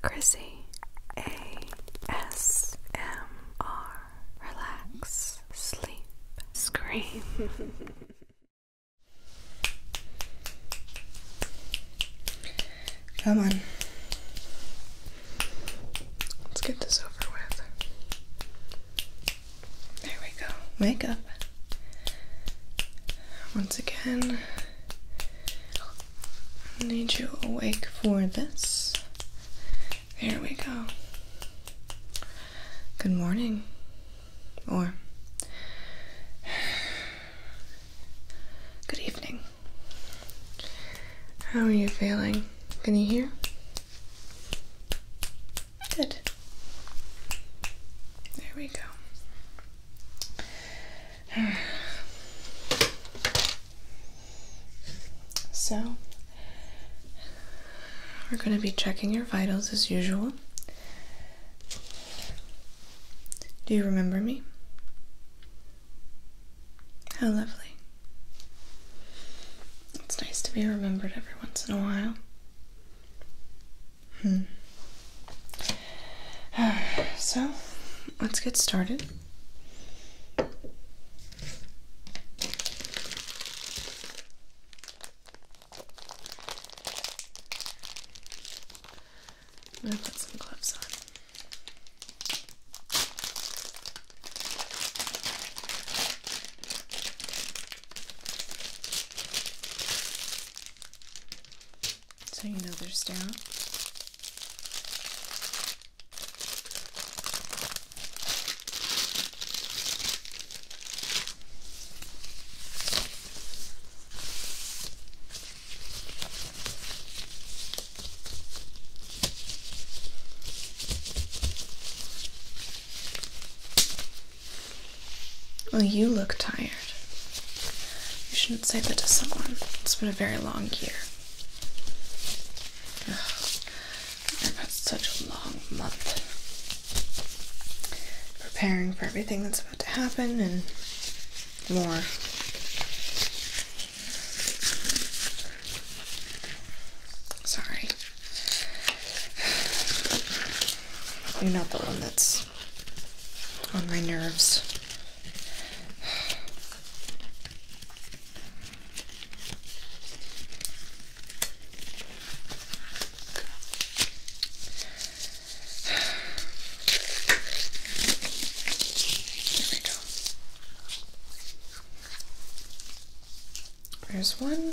Chrissy ASMR Relax Sleep Scream Come on. Let's get this over with. There we go. Wake up. Once again, need you awake for this. There we go. Good morning. Or good evening. How are you feeling? Can you hear? Good. There we go. So, we're going to be checking your vitals as usual. Do you remember me? How lovely. It's nice to be remembered every once in a while. Hmm. So let's get started. going to put some gloves on so you know they're sterile. Well, you look tired. You shouldn't say that to someone. It's been a very long year. Ugh, I've such a long month preparing for everything that's about to happen and more. Sorry. You're not the one that's on my nerves. Here we go. There's one.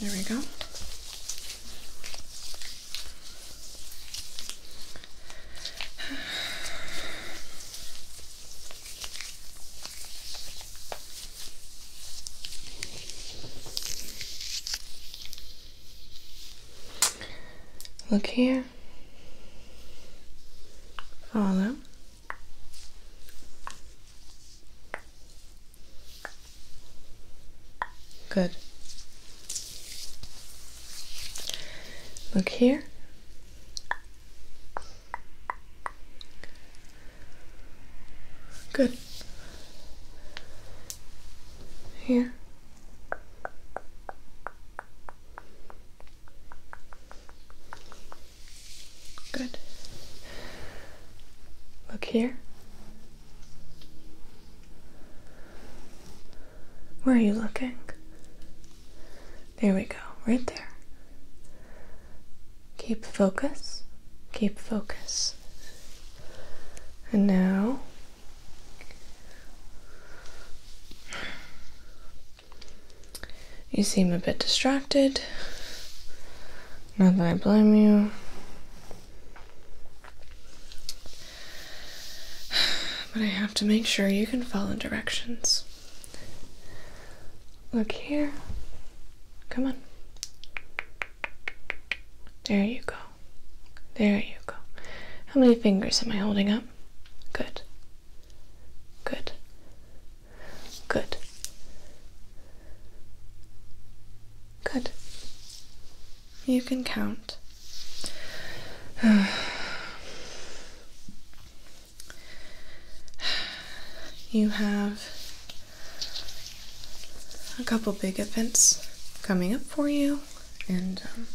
There we go. Look here. Follow. Good. Look here. Good. Here. Good. Look here. Where are you looking? There we go, right there. Keep focus, keep focus. And now, you seem a bit distracted. Not that I blame you. But I have to make sure you can follow directions. Look here. Come on. There you go. There you go. How many fingers am I holding up? Good. Good. Good. Good. You can count. You have a couple big events coming up for you, and um,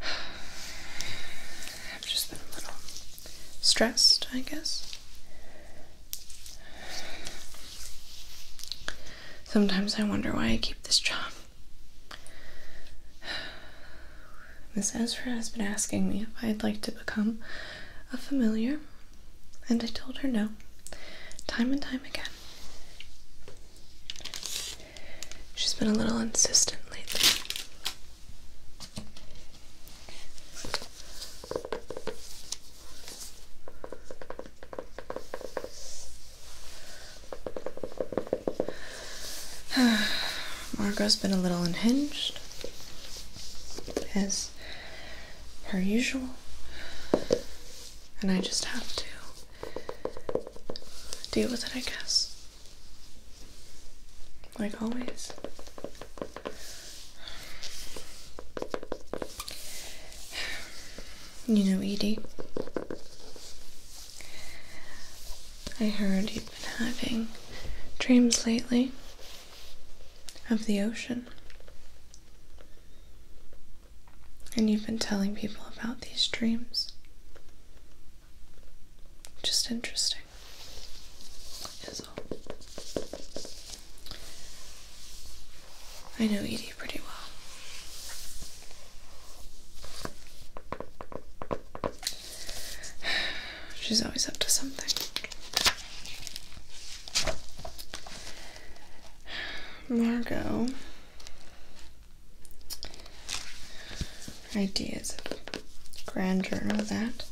I've just been a little stressed, I guess. Sometimes I wonder why I keep this job. Miss Ezra has been asking me if I'd like to become a familiar, and I told her no, time and time again. She's been a little insistent lately. Margot's been a little unhinged, as her usual, and I just have to deal with it, I guess like always. You know, Edie, I heard you've been having dreams lately of the ocean. And you've been telling people about these dreams. Just interesting. I know Edie pretty well. She's always up to something. Margot. Ideas grandeur of that.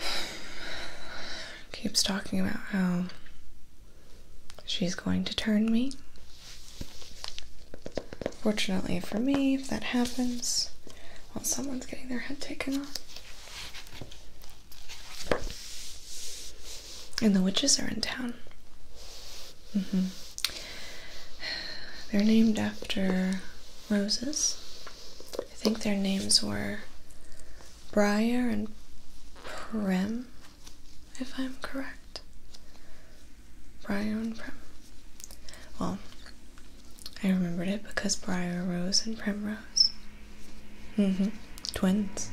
Keeps talking about how she's going to turn me. Fortunately for me, if that happens, well, someone's getting their head taken off. And the witches are in town. Mm-hmm. They're named after roses I think their names were Briar and Prim, if I'm correct. Briar and Prim. Well, I remembered it because Briar Rose and Prim Rose. Mm hmm. Twins.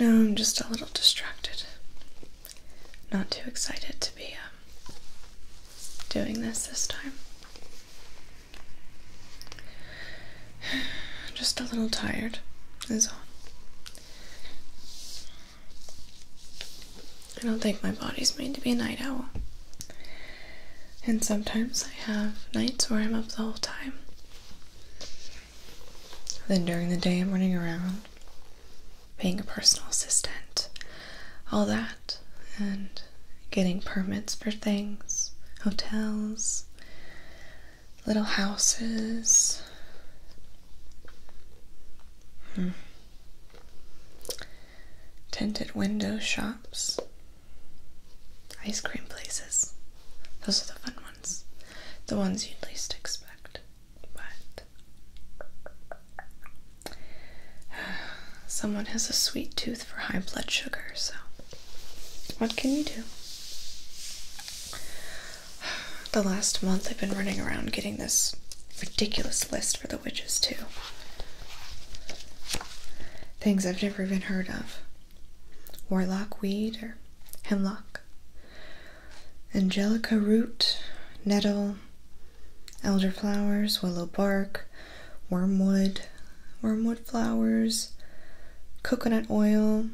No, I'm just a little distracted. Not too excited to be um, doing this this time. Just a little tired, is all. I don't think my body's made to be a night owl. And sometimes I have nights where I'm up the whole time. Then during the day, I'm running around being a personal assistant, all that, and getting permits for things, hotels, little houses. Hmm. Tinted window shops ice cream places. Those are the fun ones. The ones you'd least expect. But someone has a sweet tooth for high blood sugar, so what can you do? The last month I've been running around getting this ridiculous list for the witches, too things I've never even heard of warlock weed or hemlock, angelica root, nettle, elder flowers, willow bark, wormwood, wormwood flowers, coconut oil,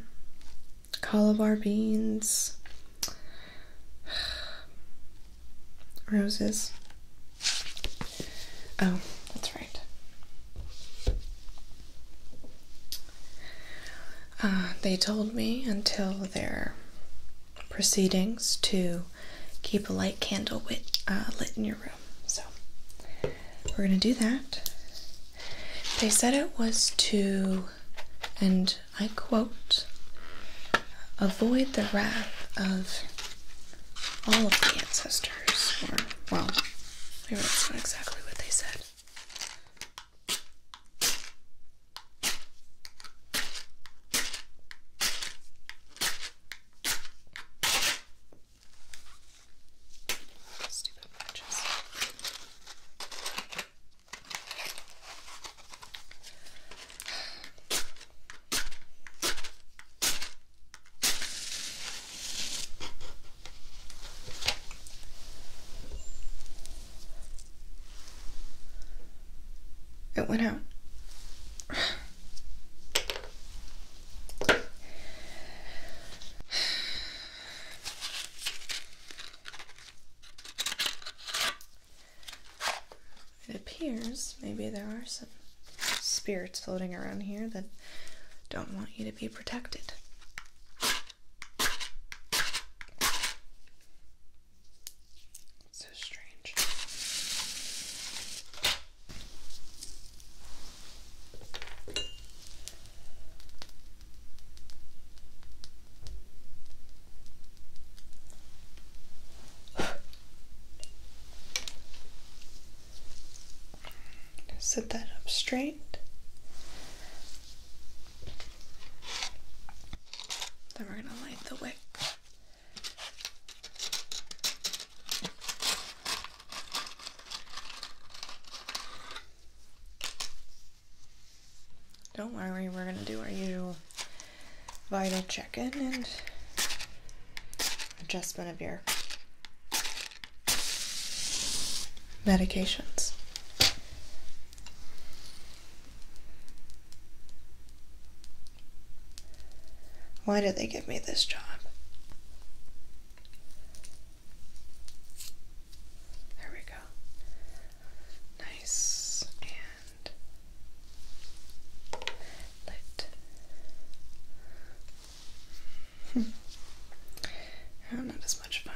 cauliflower beans, roses, Oh, that's right. Uh, they told me until their proceedings to keep a light candle wit, uh, lit in your room. So we're going to do that. They said it was to, and I quote, avoid the wrath of all of the ancestors well, maybe that's not exactly what they said. Stupid matches. It went out. It appears maybe there are some spirits floating around here that don't want you to be protected. so strange. Set that up straight. Then we're going to light the wick. Don't worry, we're going to do our usual vital check in and adjustment of your medications. Why did they give me this job? There we go. Nice and not as much fun.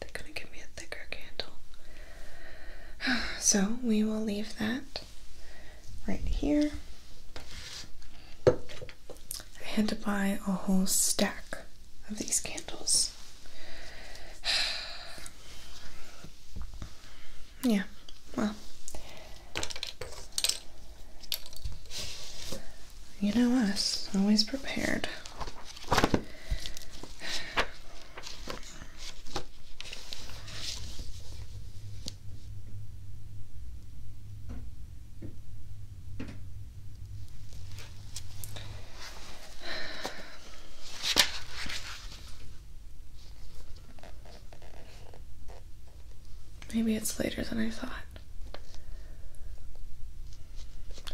They couldn't give me a thicker candle. So we will leave that right here. I had to buy a whole stack of these candles. Yeah, well. You know us, always prepared. Maybe it's later than I thought.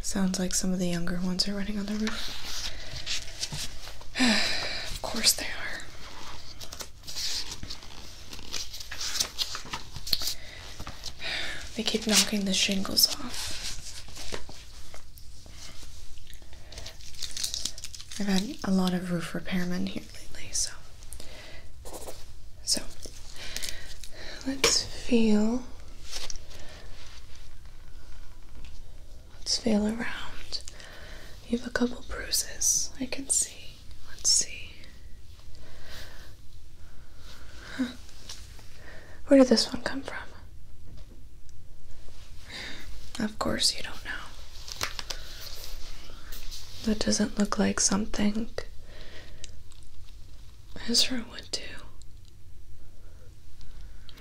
Sounds like some of the younger ones are running on the roof. of course they are. They keep knocking the shingles off. I've had a lot of roof repairmen here lately, so so let's feel let's feel around. You have a couple bruises I can see. Let's see. Where did this one come from? Of course, you don't know. That doesn't look like something Ezra would do.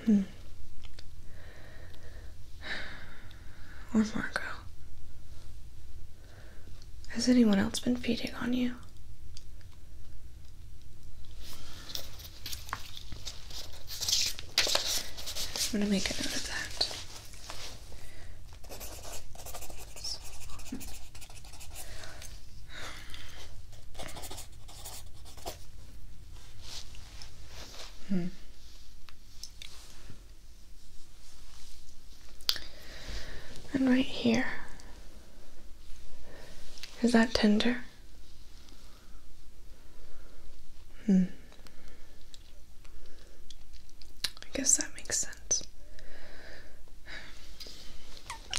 Hmm. Or Marco. Has anyone else been feeding on you? I'm gonna make a note of that. Hmm. And right here. Is that tender? Hmm. I guess that makes sense.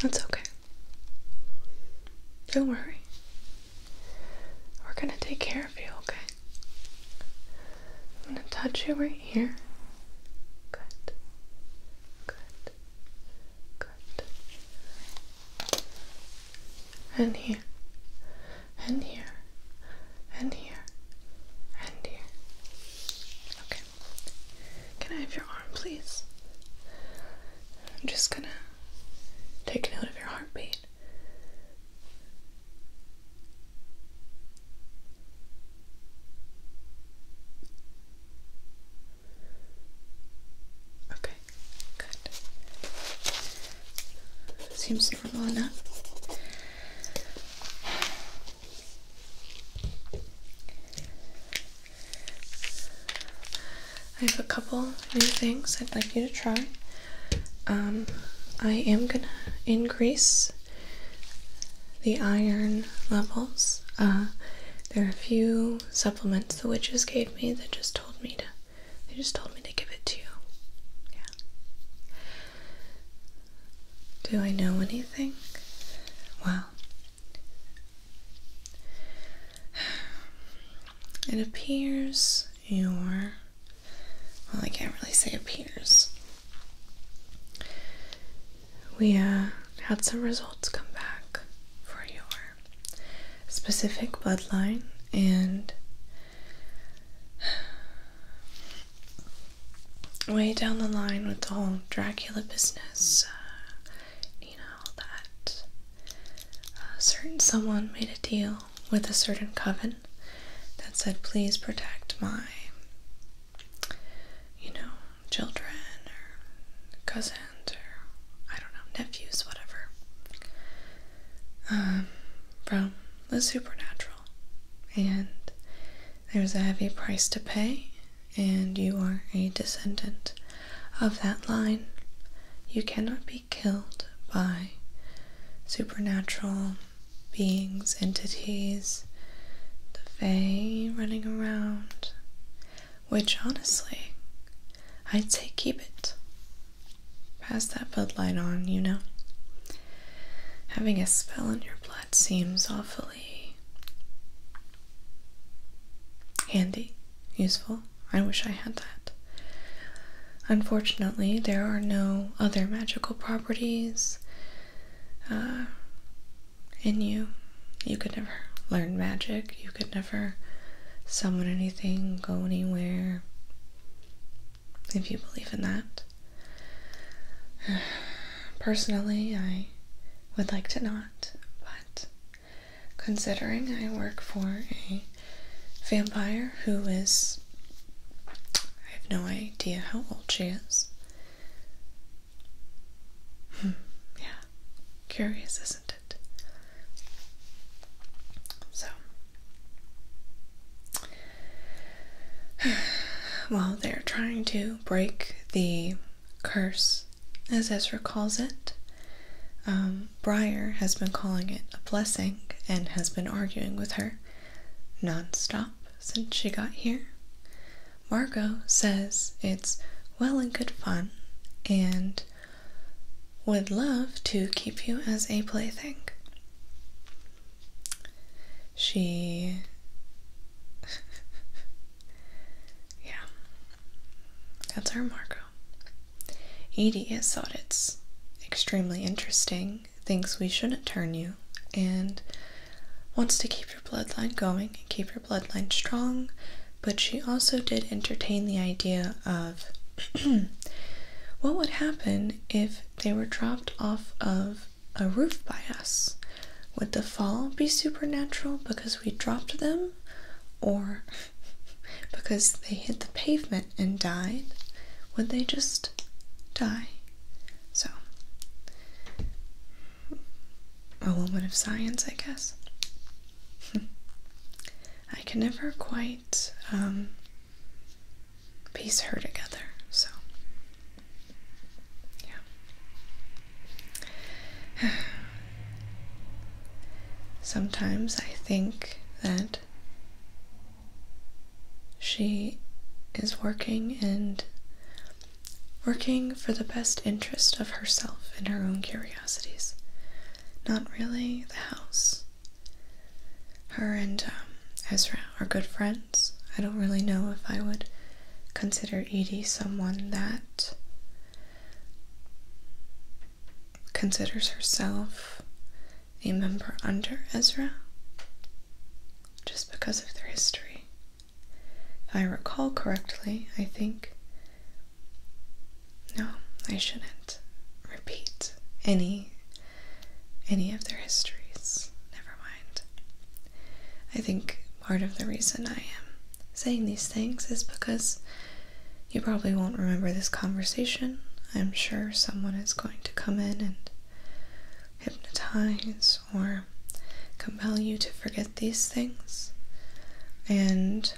That's okay. Don't worry. We're gonna take care of you, okay? I'm gonna touch you right here. Good. Good. Good. And here and here, and here, and here. Okay. Can I have your arm, please? I'm just gonna take note of your heartbeat. Okay, good. Seems I have a couple new things I'd like you to try. Um, I am gonna increase the iron levels. Uh, there are a few supplements the witches gave me that just told me to they just told me to give it to you. Yeah. Do I know anything? Well, it appears your Well, I can't really say appears. We uh, had some results come back for your specific bloodline, and way down the line with the whole Dracula business, uh, you know, that uh, certain someone made a deal with a certain coven that said, please protect my, you know, children or cousins or I don't know, nephews, whatever, um, from was supernatural. And there's a heavy price to pay, and you are a descendant of that line. You cannot be killed by supernatural beings, entities, the Fae running around. Which honestly, I'd say keep it. Pass that Bud on, you know. Having a spell in your blood seems awfully handy, useful. I wish I had that. Unfortunately, there are no other magical properties uh, in you. You could never learn magic, you could never summon anything, go anywhere if you believe in that. Personally, I would like to not, but considering I work for a vampire who is. I have no idea how old she is. Hmm, yeah, curious, isn't it? So, well, they're trying to break the curse, as Ezra calls it. Um, Briar has been calling it a blessing and has been arguing with her nonstop since she got here. Margot says it's well and good fun, and would love to keep you as a plaything. She. yeah. That's our Marco. Edie has thought it's extremely interesting, thinks we shouldn't turn you, and wants to keep your bloodline going and keep your bloodline strong, but she also did entertain the idea of what would happen if they were dropped off of a roof by us. Would the fall be supernatural because we dropped them, or because they hit the pavement and died? Would they just die? So, a little bit of science, I guess. I can never quite um, piece her together. So, yeah. Sometimes I think that she is working and working for the best interest of herself and her own curiosities, not really the house her and um, Ezra are good friends. I don't really know if I would consider Edie someone that considers herself a member under Ezra just because of their history. If I recall correctly, I think. No, I shouldn't repeat any any of their histories. Never mind. I think part of the reason I am saying these things is because you probably won't remember this conversation. I'm sure someone is going to come in and hypnotize or compel you to forget these things. And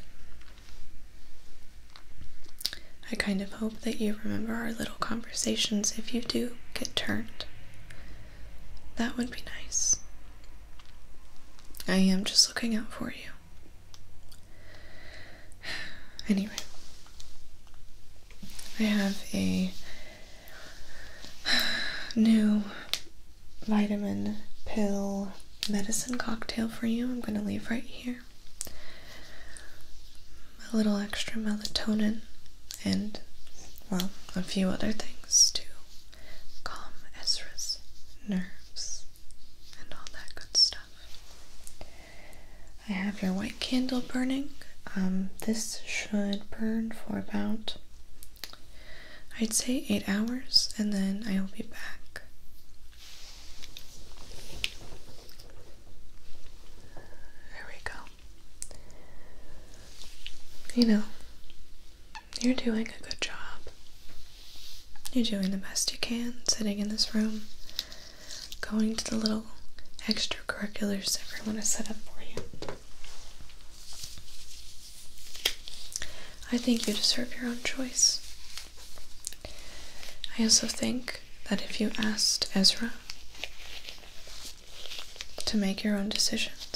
I kind of hope that you remember our little conversations if you do get turned. That would be nice. I am just looking out for you. Anyway, I have a new vitamin pill medicine cocktail for you. I'm going to leave right here. A little extra melatonin and, well, a few other things to calm Ezra's nerves and all that good stuff. I have your white candle burning. Um, this should burn for about, I'd say, eight hours, and then I will be back there we go. You know, you're doing a good job. You're doing the best you can sitting in this room, going to the little extracurriculars everyone has set up for you. I think you deserve your own choice. I also think that if you asked Ezra to make your own decisions,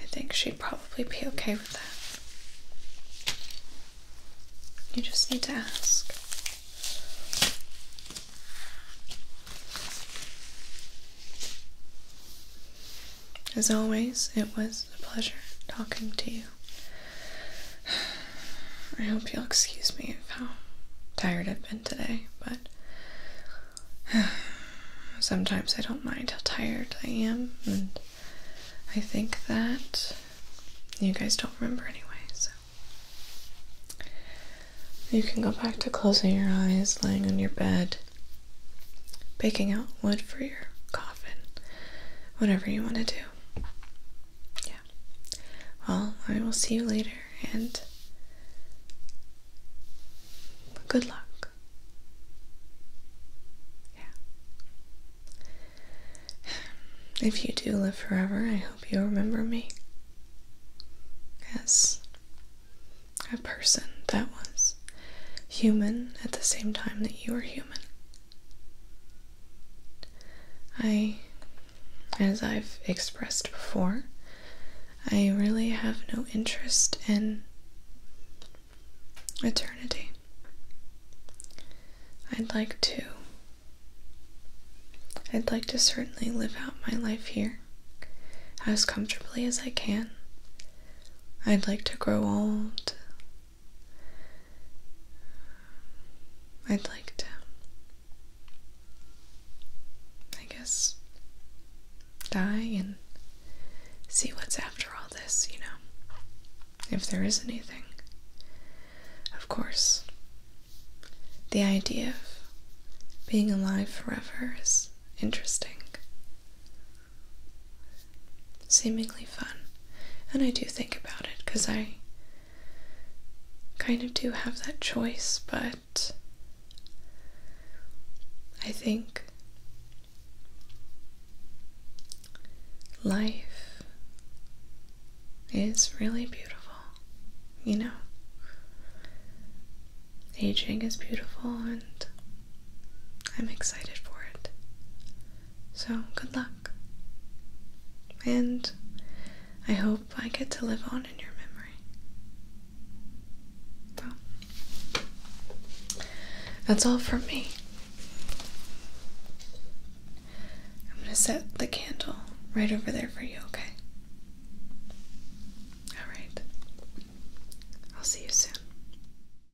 I think she'd probably be okay with that. You just need to ask. As always, it was a pleasure talking to you. I hope you'll excuse me of how tired I've been today, but sometimes I don't mind how tired I am, and I think that you guys don't remember anyway, so. You can go back to closing your eyes, laying on your bed, baking out wood for your coffee and whatever you want to do. Yeah. Well, I will see you later and good luck. Yeah. If you do live forever, I hope you remember me as a person that was human at the same time that you were human. I, as I've expressed before, I really have no interest in eternity. I'd like to. I'd like to certainly live out my life here as comfortably as I can. I'd like to grow old I'd like to, I guess, die and see what's after all this, you know, if there is anything. Of course, the idea of being alive forever is interesting seemingly fun. And I do think about it because I kind of do have that choice, but I think life is really beautiful, you know? Aging is beautiful and I'm excited for it. So, good luck. And I hope I get to live on in your memory. Well, that's all from me. I'm going to set the candle right over there for you, okay? Alright. I'll see you soon.